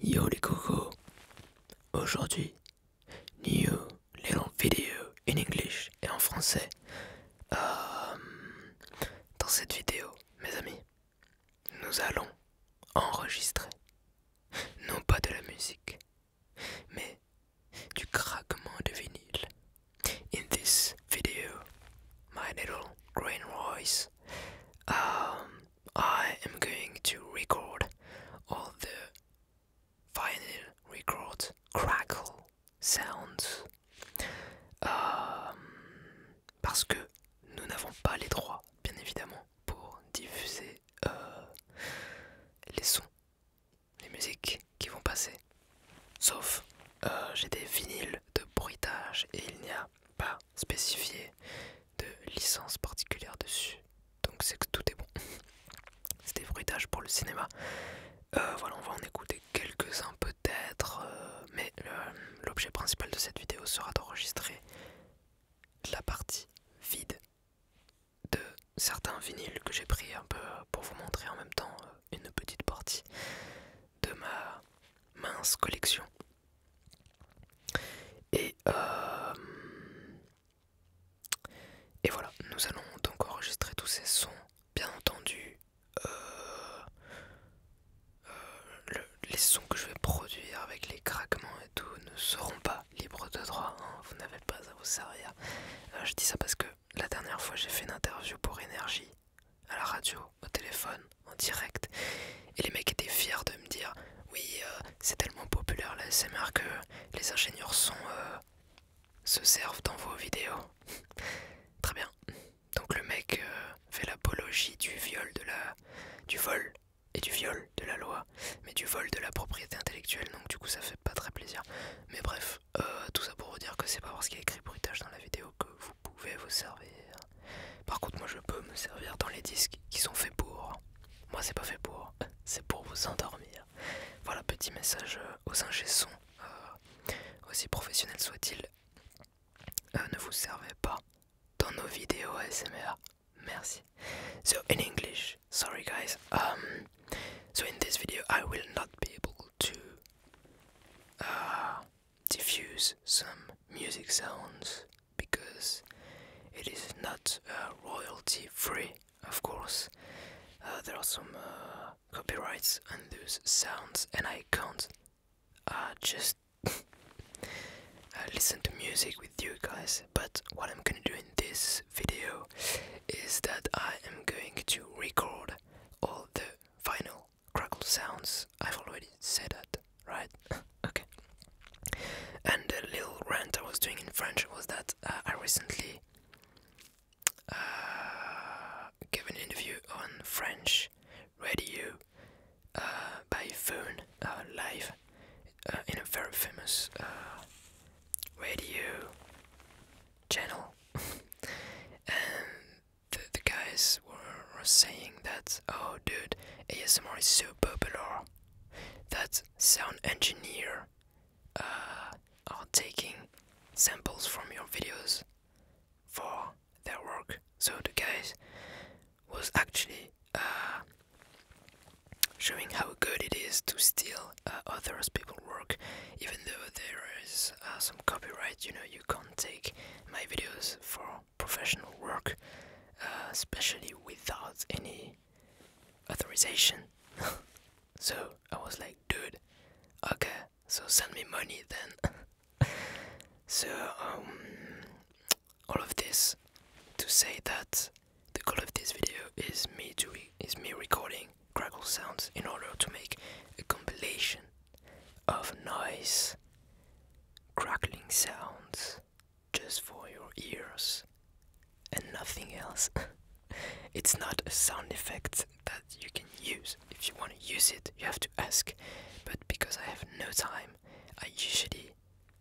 Yo les cocos, aujourd'hui, new little video in English et en français. Euh, dans cette vidéo, mes amis, nous allons enregistrer, non pas de la musique, mais du craquement de vinyle. In this video, my little green Royce. Euh, I am going to record all the vinyl record crackle sounds euh, parce que nous n'avons pas les droits, bien évidemment, pour diffuser euh, les sons, les musiques qui vont passer. Sauf euh, j'ai des vinyles de bruitage et il n'y a pas spécifié de licence particulière dessus. Donc c'est que tout est bon. c'est des pour le cinéma. Euh, voilà, on va en écouter quelques-uns peut-être, euh, mais l'objet principal de cette vidéo sera d'enregistrer la partie vide de certains vinyles que j'ai pris un peu pour vous montrer en même temps euh, une petite partie de ma mince collection et, euh, et voilà, nous allons donc enregistrer tous ces sons. Bien entendu, euh, euh, les sons que je vais produire avec les craquements et tout ne seront pas libres de droit. Hein, vous n'avez pas à vous servir. je dis ça parce que la dernière fois j'ai fait une interview pour Énergie à la radio, au téléphone, en direct. Et les mecs étaient fiers de me dire Oui, euh, c'est tellement populaire la SMR que les ingénieurs sont. Euh, se servent dans vos vidéos. Très bien. Donc le mec euh, fait l'apologie du viol de la. du vol et du viol de la loi, mais du vol de la propriété intellectuelle, donc du coup ça fait pas très plaisir. Mais bref, tout ça pour vous dire que c'est pas parce qu'il y a écrit bruitage dans la vidéo que vous pouvez vous servir par contre, moi je peux me servir dans les disques qui sont faits pour. Moi, c'est pas fait pour, c'est pour vous endormir. Voilà, petit message euh, aux ingé sons euh, aussi professionnels soit-il. Euh, ne vous servez pas dans nos vidéos ASMR. Merci. So in English, sorry guys. Um, so in this video, I will not be able to uh, diffuse some music sounds because it is not uh, royalty free, of course. Uh, there are some uh, copyrights and those sounds, and I can't just listen to music with you guys. But what I'm gonna do in this video is that I am going to record all the final crackle sounds. I've already said that right? okay. And the little rant I was doing in French was that uh, I recently uh, gave an interview on French radio uh, by phone live in a very famous radio channel. and the, guys were, saying that, oh dude, ASMR is super popular that sound engineer uh, are taking samples from your videos for their work. So the guy was actually uh, showing how good it is to steal other uh, others people's work, even though there is some copyright. You know, you can't take my videos for professional work, uh, especially without any authorization. so I was like, dude, okay, so send me money then. so, um, all of this to say that the goal of this video is me doing is me recording crackle sounds in order to make a compilation of noise, crackling sounds just for your ears and nothing else. it's not a sound effect that you can use. If you want to use it, you have to ask. But because I have no time, I usually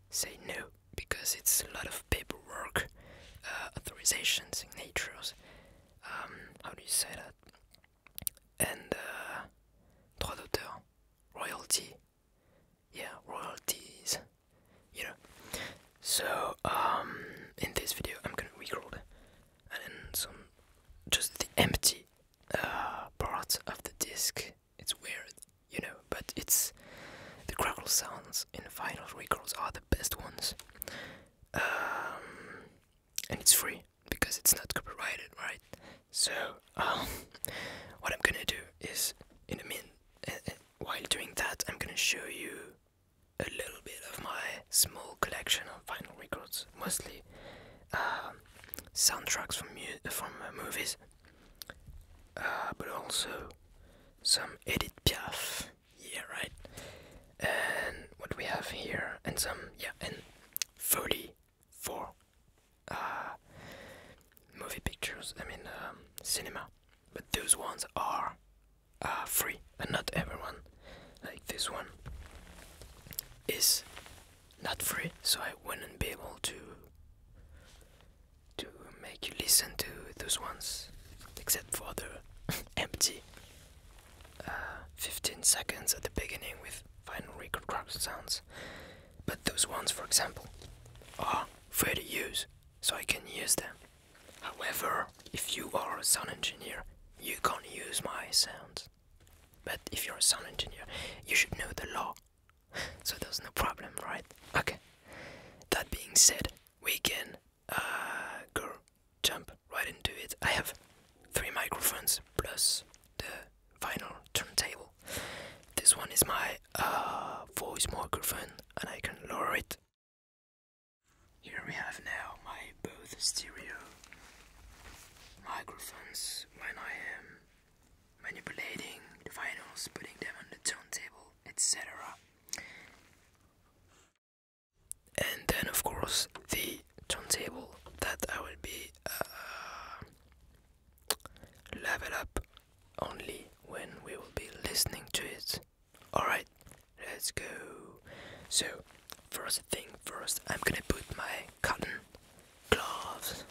say no because it's a lot of paperwork, uh, authorizations, signatures. Um, how do you say that? And uh, droit royalty, yeah royalties you know so um in this video i'm gonna record and then some just the empty uh part of the disc it's weird you know but it's the crackle sounds in final records are the best ones um and it's free because it's not copyrighted right so, um, what I'm gonna do is, in a minute, eh, eh, while doing that, I'm gonna show you a little bit of my small collection of vinyl records, mostly um, soundtracks from from uh, movies, uh, but also some Edith Piaf. Yeah, right. And what we have here, and some yeah, and 30 for uh, movie pictures, I mean um, cinema. But those ones are uh, free, and not everyone. Like this one is not free, so I wouldn't be able to to make you listen to those ones, except for the empty uh, 15 seconds at the beginning with final record crop sounds. But those ones, for example, are free to use, so I can use them. However, if you are a sound engineer, you can't use my sounds. But if you're a sound engineer, you should know the law. So there's no problem, right? Okay. That being said, we can uh, go jump right into it. I have three microphones plus the vinyl turntable. This one is my uh, voice microphone and I can lower it. Here we have now my both stereo microphones when I am manipulating the vinyls, putting them on the turntable, etc. And then, of course, the turntable that I will be uh, level up only when we will be listening to it. Alright, let's go. So, first thing first, I'm gonna put my cotton gloves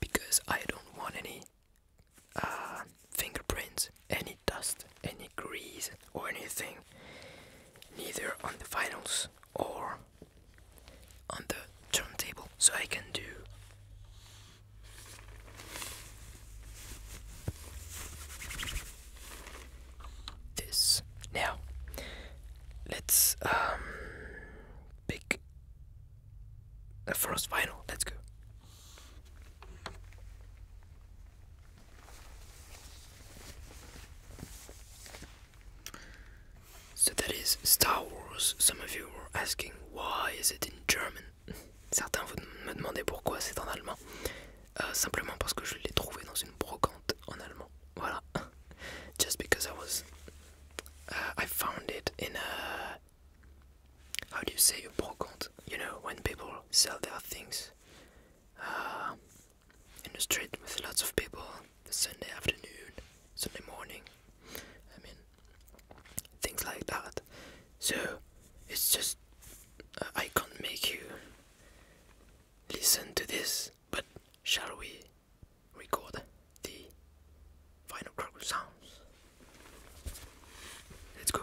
because I don't want any uh, fingerprints, any dust, any grease, or anything, neither on the finals or on the turntable so I can do this now let's um pick the first vinyl let's go so that is Star Wars. Some of you were asking why is it in German. Certains vous me demandaient pourquoi c'est en allemand. Uh, simplement parce que je l'ai trouvé dans une brocante en allemand. Voilà. Just because I was, uh, I found it in a. How do you say a brocante? You know when people sell their things uh, in the street with lots of people Sunday afternoon, Sunday morning. I mean, things like that. So it's just uh, I can't make you listen to this, but shall we record the final croc sounds? Let's go.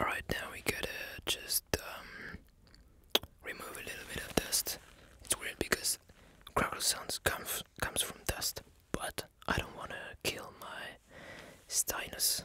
All right, now we gotta just um, remove a little bit of dust. It's weird because crackle sounds comes comes from dust, but I don't wanna kill my stinus.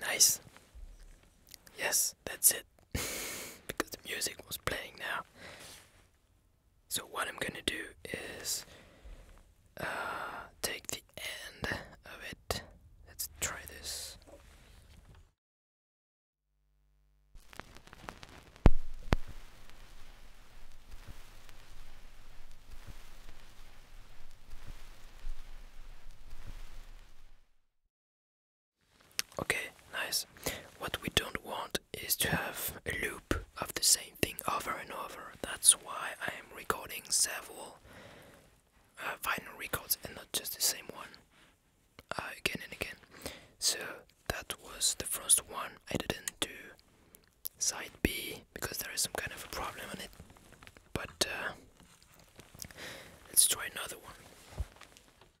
Nice. Yes, that's it because the music was playing now. So what I'm gonna do is uh, take the end of it. Let's try this. Okay, nice. What we don't want is to have a loop of the same thing over and over. That's why I am recording several uh, vinyl records and not just the same one uh, again and again. So that was the first one. I didn't do side B because there is some kind of a problem on it. But uh, let's try another one.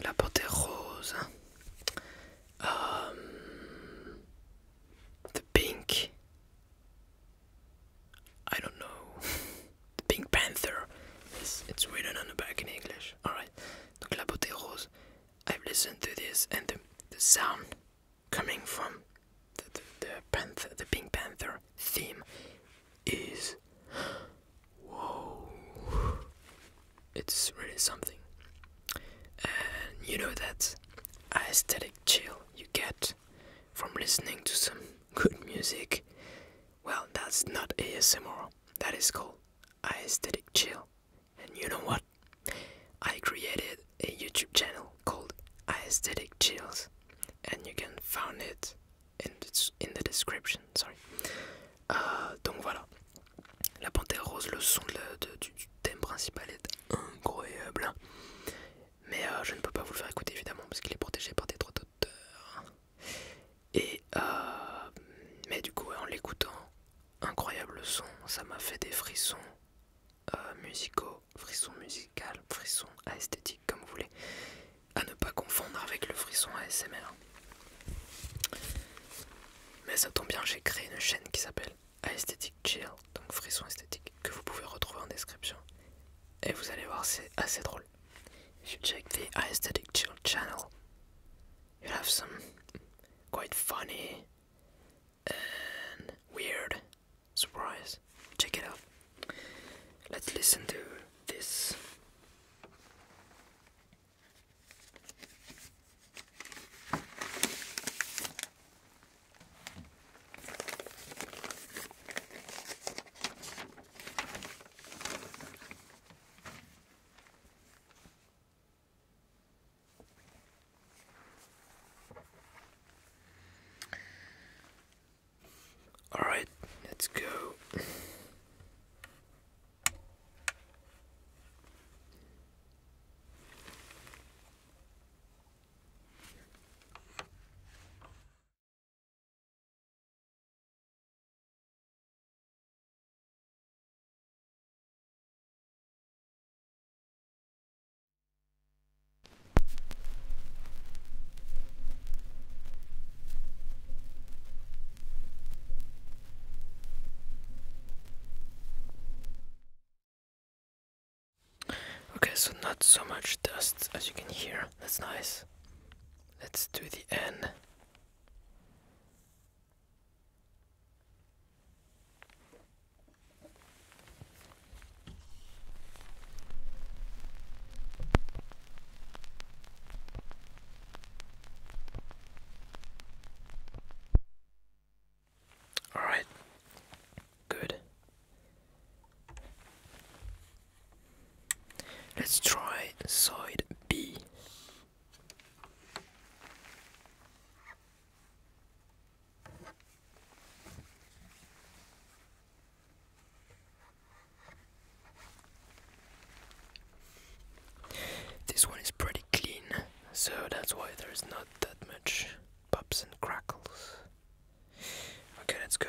La porte est rose. Um, the pink. I don't know. the Pink Panther. It's, it's written on the back in English. Alright. la beauté rose. I've listened to this and the, the sound coming from the, the, the, the Pink Panther theme is whoa it's really something and you know that aesthetic chill you get from listening to some good music well that's not asmr that is called aesthetic chill and you know what i created a youtube channel called aesthetic chills and you can find it in the, description. Sorry. Euh, donc voilà. La panthère rose, le son du, thème principal est incroyable. Mais euh, je ne peux pas vous le faire écouter évidemment parce qu'il est protégé par des droits d'auteur. Et euh, mais du coup, en l'écoutant, incroyable son, ça m'a fait des frissons musicaux, frissons musical frissons esthétiques comme vous voulez à ne pas confondre avec le frisson ASMR. Mais ça tombe bien, j'ai créé une chaîne qui s'appelle Aesthetic Chill, donc frisson esthétique, que vous pouvez retrouver en description. Et vous allez voir, c'est assez drôle. If check the Aesthetic Chill channel, You have some quite funny and weird surprise. Check it out. Let's listen to this. Alright, let's go. Okay, so not so much dust as you can hear. That's nice. Let's do the end. All right. Good. Let's try side B. This one is pretty clean, so that's why there's not that much pops and crackles. Okay, let's go.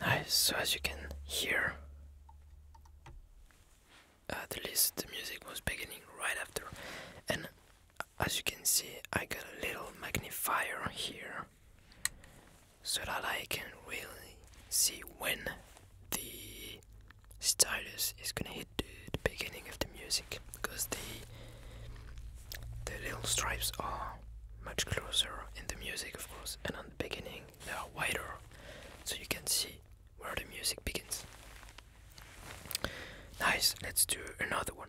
Nice, so as you can hear, at uh, least the music was beginning right after, and as you can see, I got a little magnifier here so that I can really see when the stylus is gonna hit the, the beginning of the music because the the little stripes are much closer in the music, of course, and on the beginning they are wider, so you can see where the music begins. Nice, let's do another one.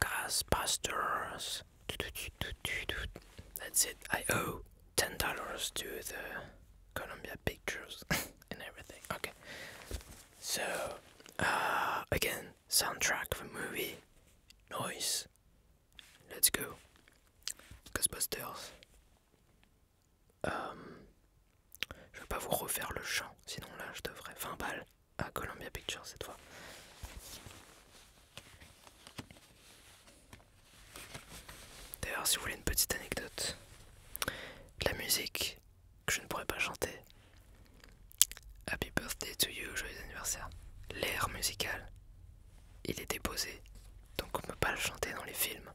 Gasbusters, That's it. I owe 10 dollars to the Columbia Pictures and everything. Okay. So uh, again, soundtrack the movie noise. Let's go. Gasbusters. Um, je vais pas vous refaire le chant, sinon là je devrais 20 balles à Columbia Pictures cette fois. D'ailleurs, si vous voulez une petite anecdote, la musique que je ne pourrais pas chanter, Happy Birthday to You, joyeux anniversaire, l'air musical, il est déposé, donc on ne peut pas le chanter dans les films,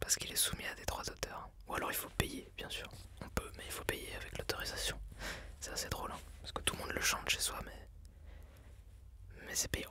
parce qu'il est soumis à des droits d'auteur. Ou alors il faut payer bien sûr. On peut, mais il faut payer avec l'autorisation. C'est assez drôle, hein, parce que tout le monde le chante chez soi, mais. Mais c'est payant.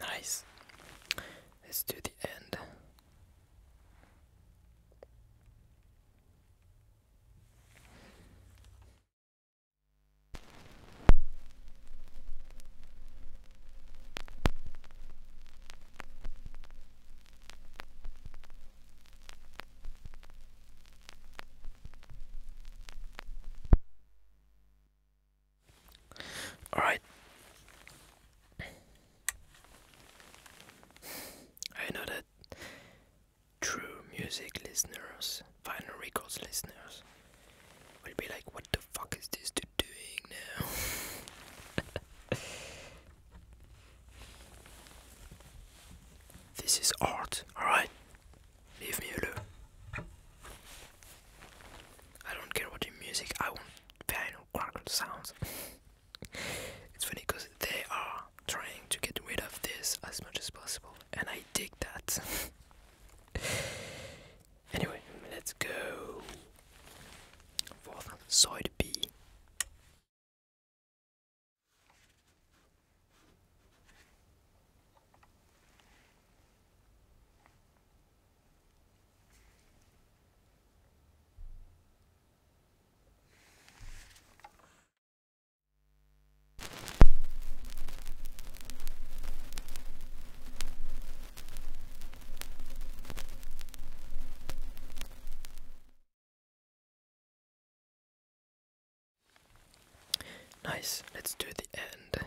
Nice. Let's do the end. All right. I know that true music listeners, vinyl records listeners, would be like, what the fuck is this dude doing now? this is art, alright? Leave me alone. I don't care about the music, I want piano crackle sounds. it's funny because they are trying to get rid of this as much as possible, and I dig that. Anyway, let's go for side B. Nice, let's do the end.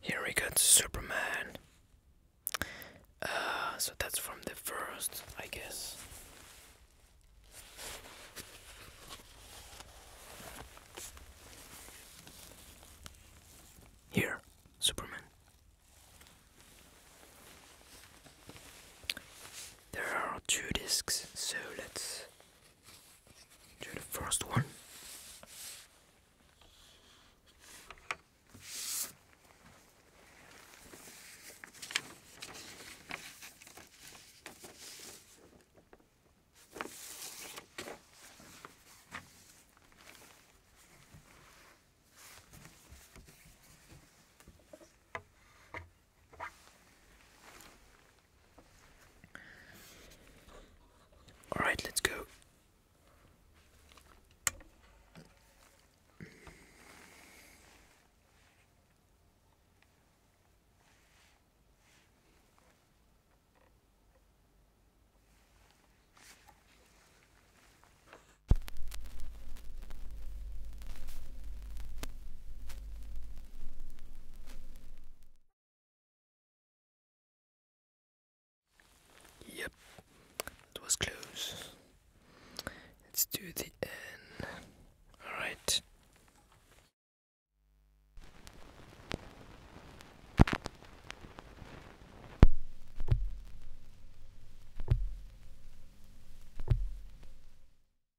Here we got Superman. Uh, so that's from the first, I guess. Here, Superman. There are two discs, so let's the first one. All right, let's go. Yep, it was close. Let's do the N. Alright.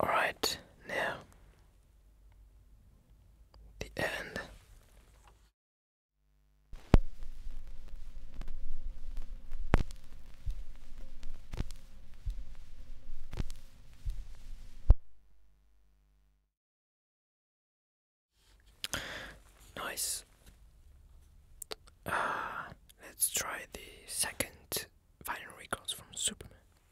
Alright, now the end. Nice. Ah, let's try the second final records from Superman.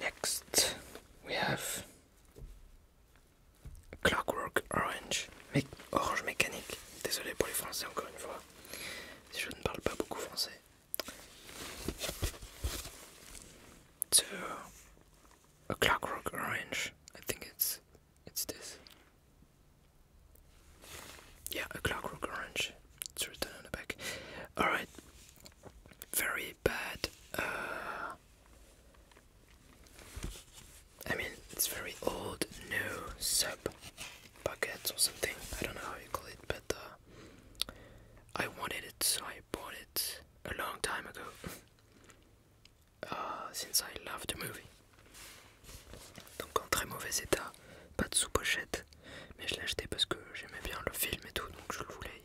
Next, we have Clockwork Orange, Mec Orange Mécanique. Désolé pour les Français encore une fois, je ne parle pas beaucoup français. It's a, Clockwork Orange. I think it's it's this. Yeah, a Clockwork Orange. It's written on the back. All right, very bad. Uh, I mean, it's very old, new sub buckets or something. I don't know how you call it, but uh, I wanted it, so I bought it a long time ago. Uh, since I love the movie. Donc en très mauvais état, pas de sous-pochette, mais je l'ai acheté parce que j'aimais bien le film et tout, donc je le voulais,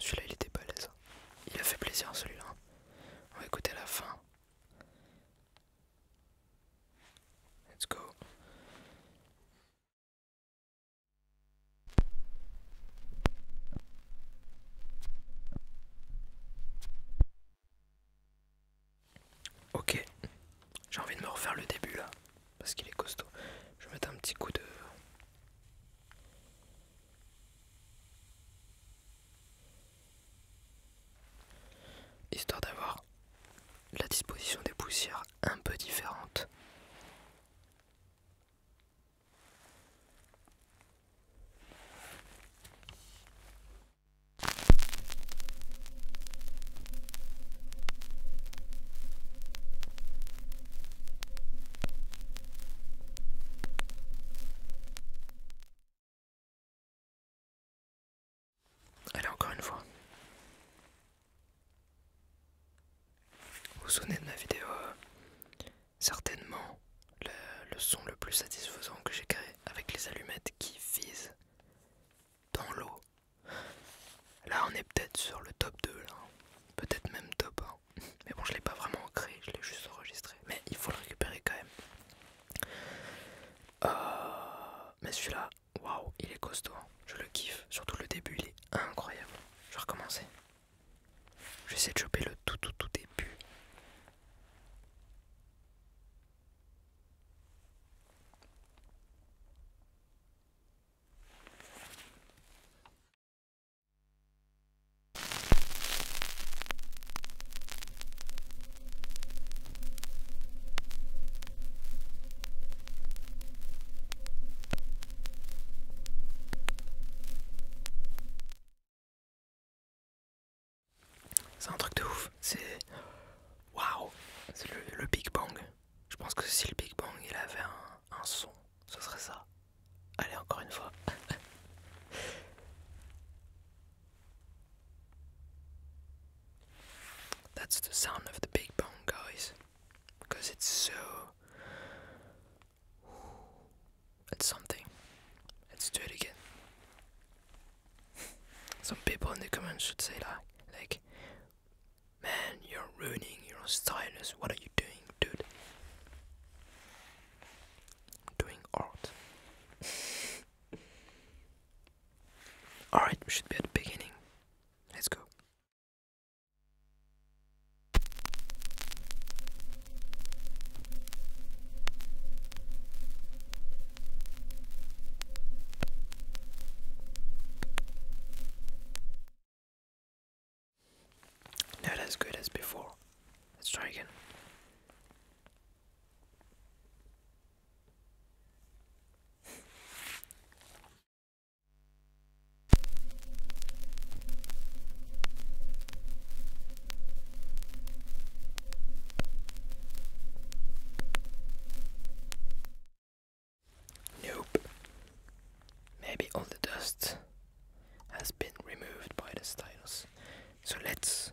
Celui-là, il était balèze. Hein. Il a fait plaisir celui-là. Hein. On va écouter la fin. Let's go. Ok, j'ai envie de me refaire le début là, parce qu'il est costaud. Je vais mettre un petit coup de... Histoire d'avoir la disposition des poussières un peu différente. Allez, encore une fois. Vous vous souvenez de ma vidéo euh, Certainement le, son le plus satisfaisant que j'ai créé avec les allumettes qui visent dans l'eau. Là on est peut-être sur le top 2 là. Hein. Peut-être même top 1. Mais bon je l'ai pas vraiment créé, je l'ai juste enregistré. Mais il faut le récupérer quand même. Euh, mais celui-là, ah, wow, il est costaud. Hein. Je le kiffe, surtout le début, il est incroyable. Je vais recommencer. essayer de choper le tout, tout, tout début. C'est un truc de ouf, c'est. Waouh! C'est le, Big Bang. Je pense que si le Big Bang il avait un son, ce serait ça. Allez, encore une fois. That's the sound of the Big Bang, guys. because it's so it's something. Let's do it again. Some people in the comments should say like like man you're ruining your stylus, what are you doing dude? doing art. Alright, we should be at the beginning. Let's go. Not as good as before. Let's try again. Nope. Maybe all the dust has been removed by the stylus. So let's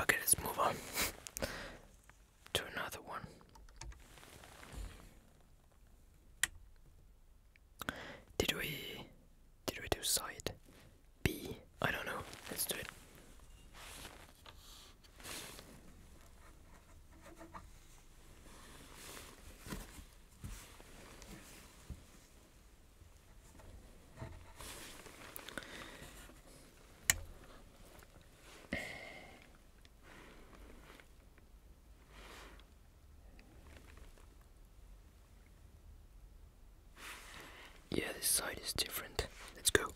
Okay, let's move on to another one. Did we did we do side B? I don't know. Let's do it. Yeah, this side is different. Let's go.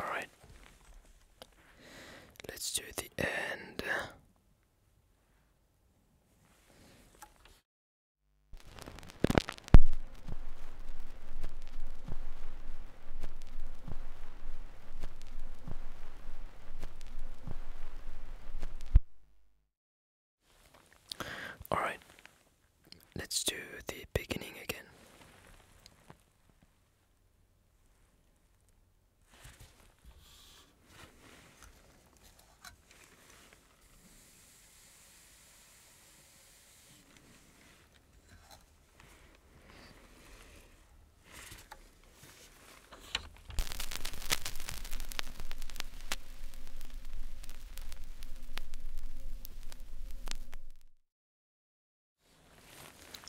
All right, let's do the end. All right, let's do the beginning again.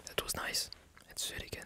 That was nice. Let's do it again.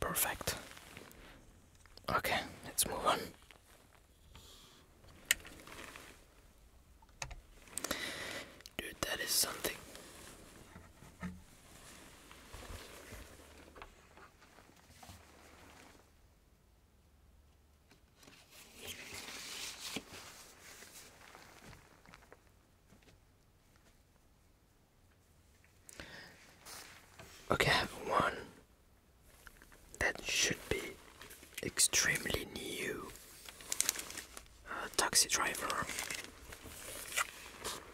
Perfect. Okay, let's move on. Dude, that is something. Okay, one that should be extremely new taxi driver.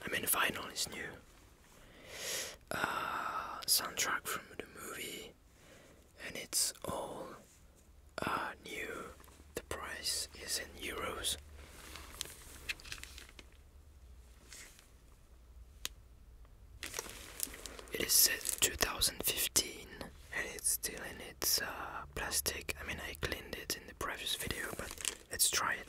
I mean, vinyl is new. Uh, soundtrack from the movie, and it's all uh, new. The price is in euros. It is set 2015 and it's still in its uh, plastic. I mean, I cleaned it in the previous video, but let's try it.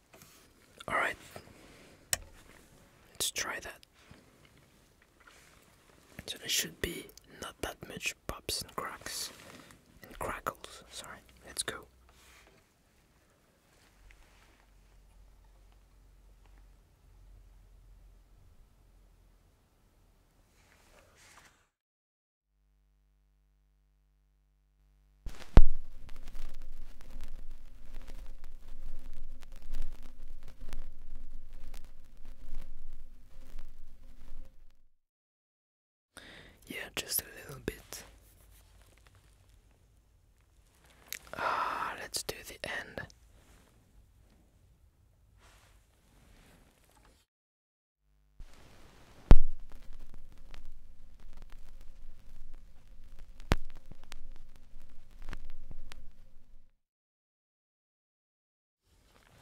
All right. Let's try that. So there should be not that much pops and cracks and crackles. Sorry. Let's go. Yeah, just a little bit. Ah, let's do the end.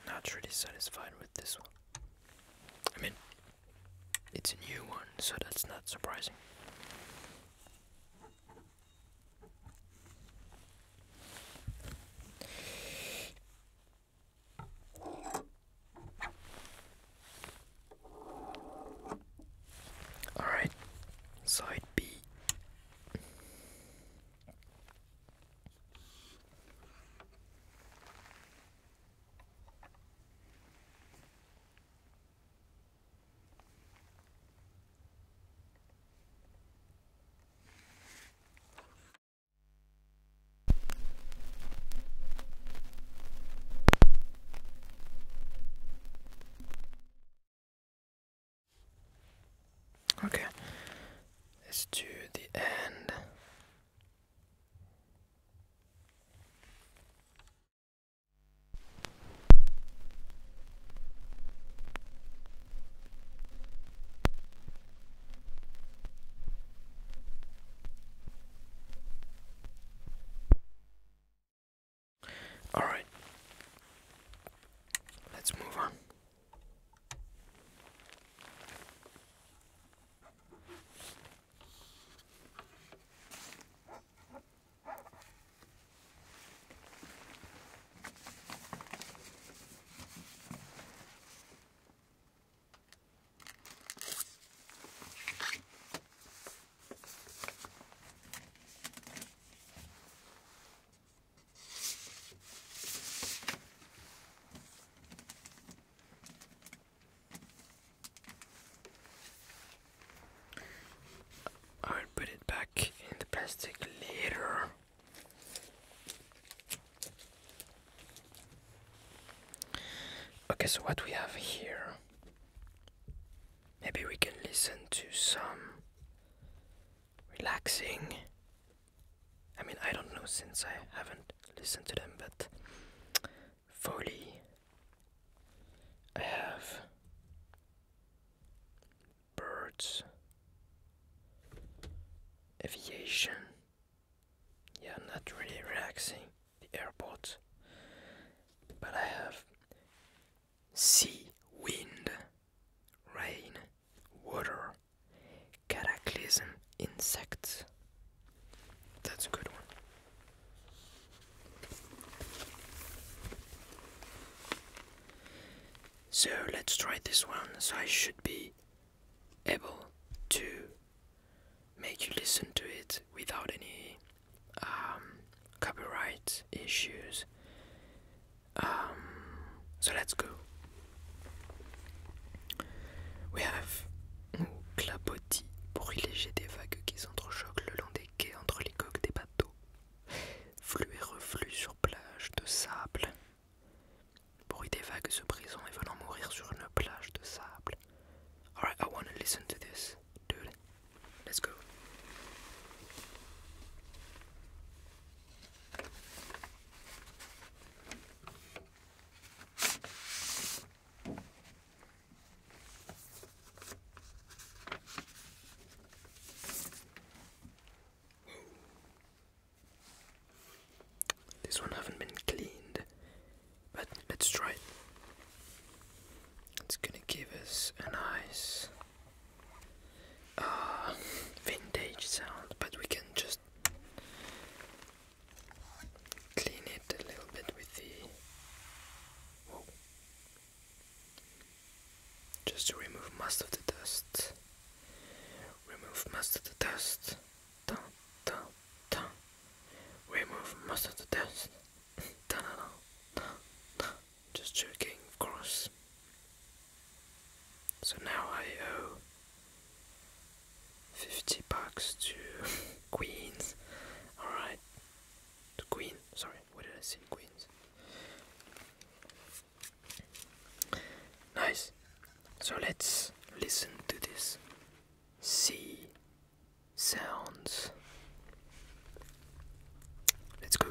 Not really satisfied with this one. I mean, it's a new one, so that's not surprising. Alright, side B. Okay, let's do the end. All right. Let's move on. I'll put it back in the plastic later. Okay, so what we have here Maybe we can listen to some relaxing. I mean, I don't know since I haven't listened to them, but Foley. I have birds, aviation. Yeah, not really relaxing the airport. But I have sea, wind, rain, water, cataclysm, insects. That's a good one. So let's try this one. So I should be able to make you listen to it without any um, copyright issues. Um, so let's go. We have clapotis, bruit léger des vagues qui s'entrechoquent le long des quais entre les coques des bateaux, flux et reflux sur plage de sable, bruit des vagues se brisant et venant mourir sur une plage de sable. Alright, I wanna listen to this, dude. Let's go. This one haven't been cleaned but let's try it. It's gonna give us a nice uh, vintage sound, but we can just clean it a little bit with the. Just to remove most of the dust. Remove most of the dust. Dun, dun, dun. Remove most of the dust. just joking, of course. So now I owe 50 bucks to Queens. Alright, to Queen, sorry, where did I say? Queens. Nice. So let's listen to this. See sounds. Let's go.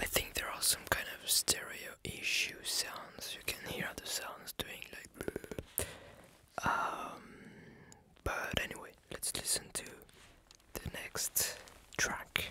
I think there are some kind of stereo issue sounds. You can hear the sounds doing like. Um, but anyway, let's listen to the next track.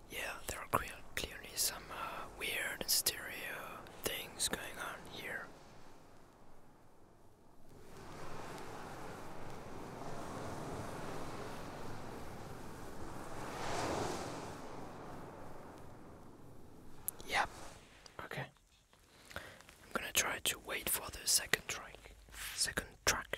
Yeah, there are clearly some uh, weird stereo things going on here. Yep. Okay. I'm gonna try to wait for the second track. Second track.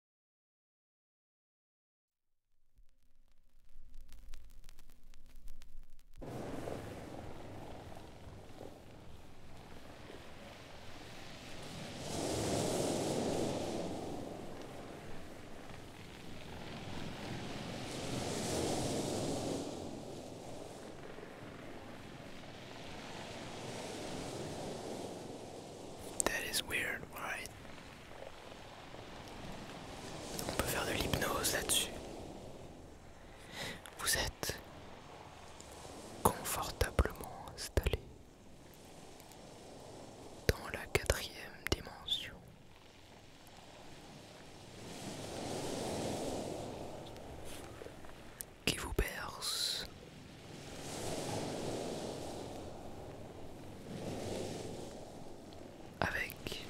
That is weird, right? On peut faire de l'hypnose là-dessus. Vous êtes confortablement installé dans la quatrième dimension. Qui vous berce avec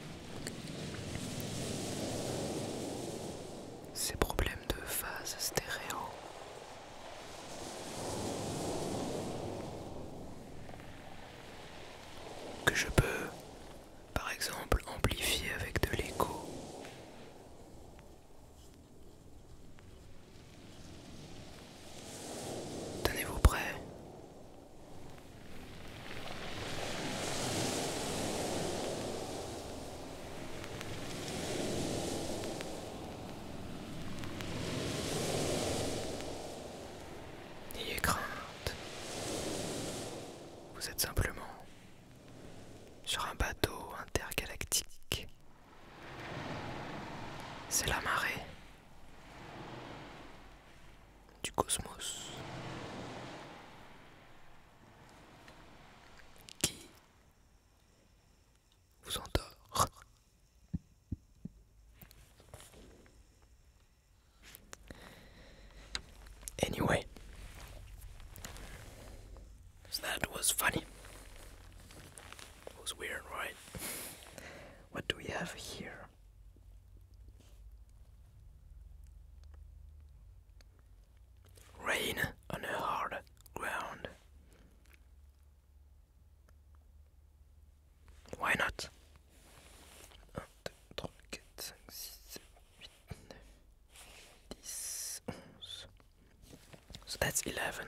ces problèmes de phase stéréo. Que je peux, par exemple, amplifier avec de l'écho. Tenez-vous prêt N'ayez crainte. Vous êtes simplement sur un bateau intergalactique. C'est la marée du cosmos qui vous endort. Anyway, that was funny. was weird, right? What do we have here? Rain on a hard ground. Why not? So that's 11.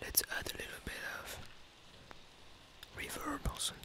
Let's add a little bit of reverb or something.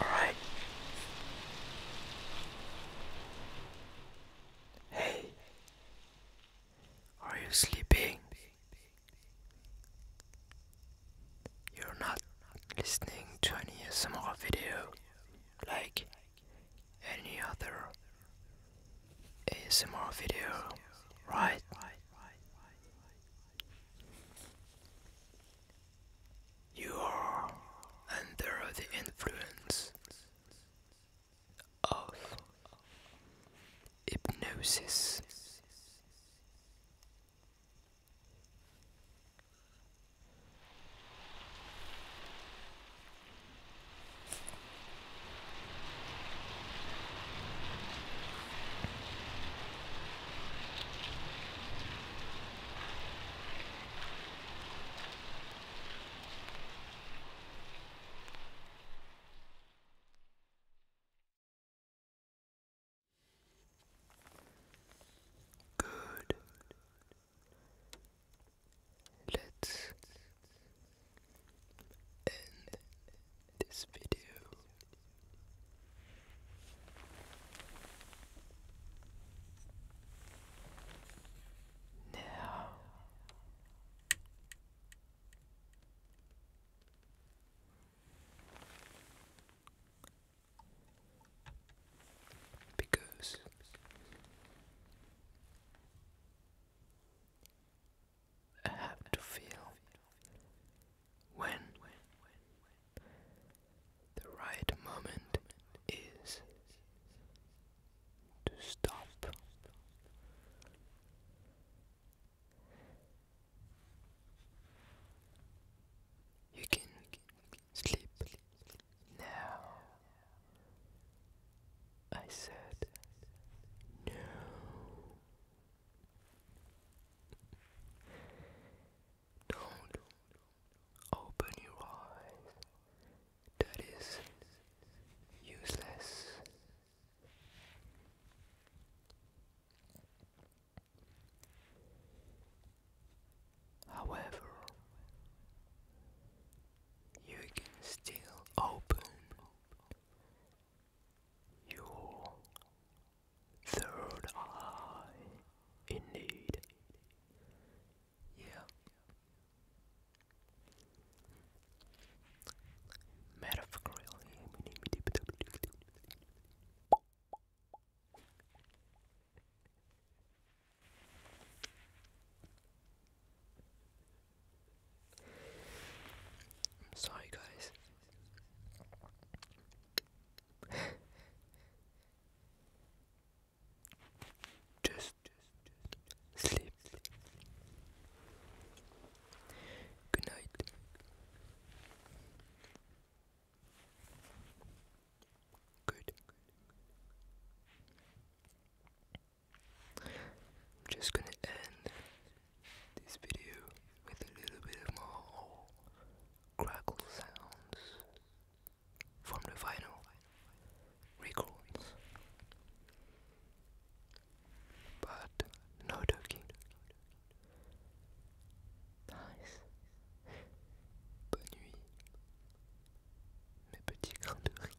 Alright. Hey, are you sleeping? You're not listening to any ASMR video like any other ASMR video, right? You are under the influence of hypnosis. Good. Let's end this video. No. Because I have to feel when the right moment is to stop. You can sleep now. I said no. Don't open your eyes. That is useless. However, you can still open your Third eye, indeed. Yeah. Metaphorically, I'm sorry, guys. Just, sleep. Good night. Good. I'm just gonna end this video with a little bit of more crackle sounds from the vinyl records, but no talking. Nice. Bonne nuit, mes petits grains de riz.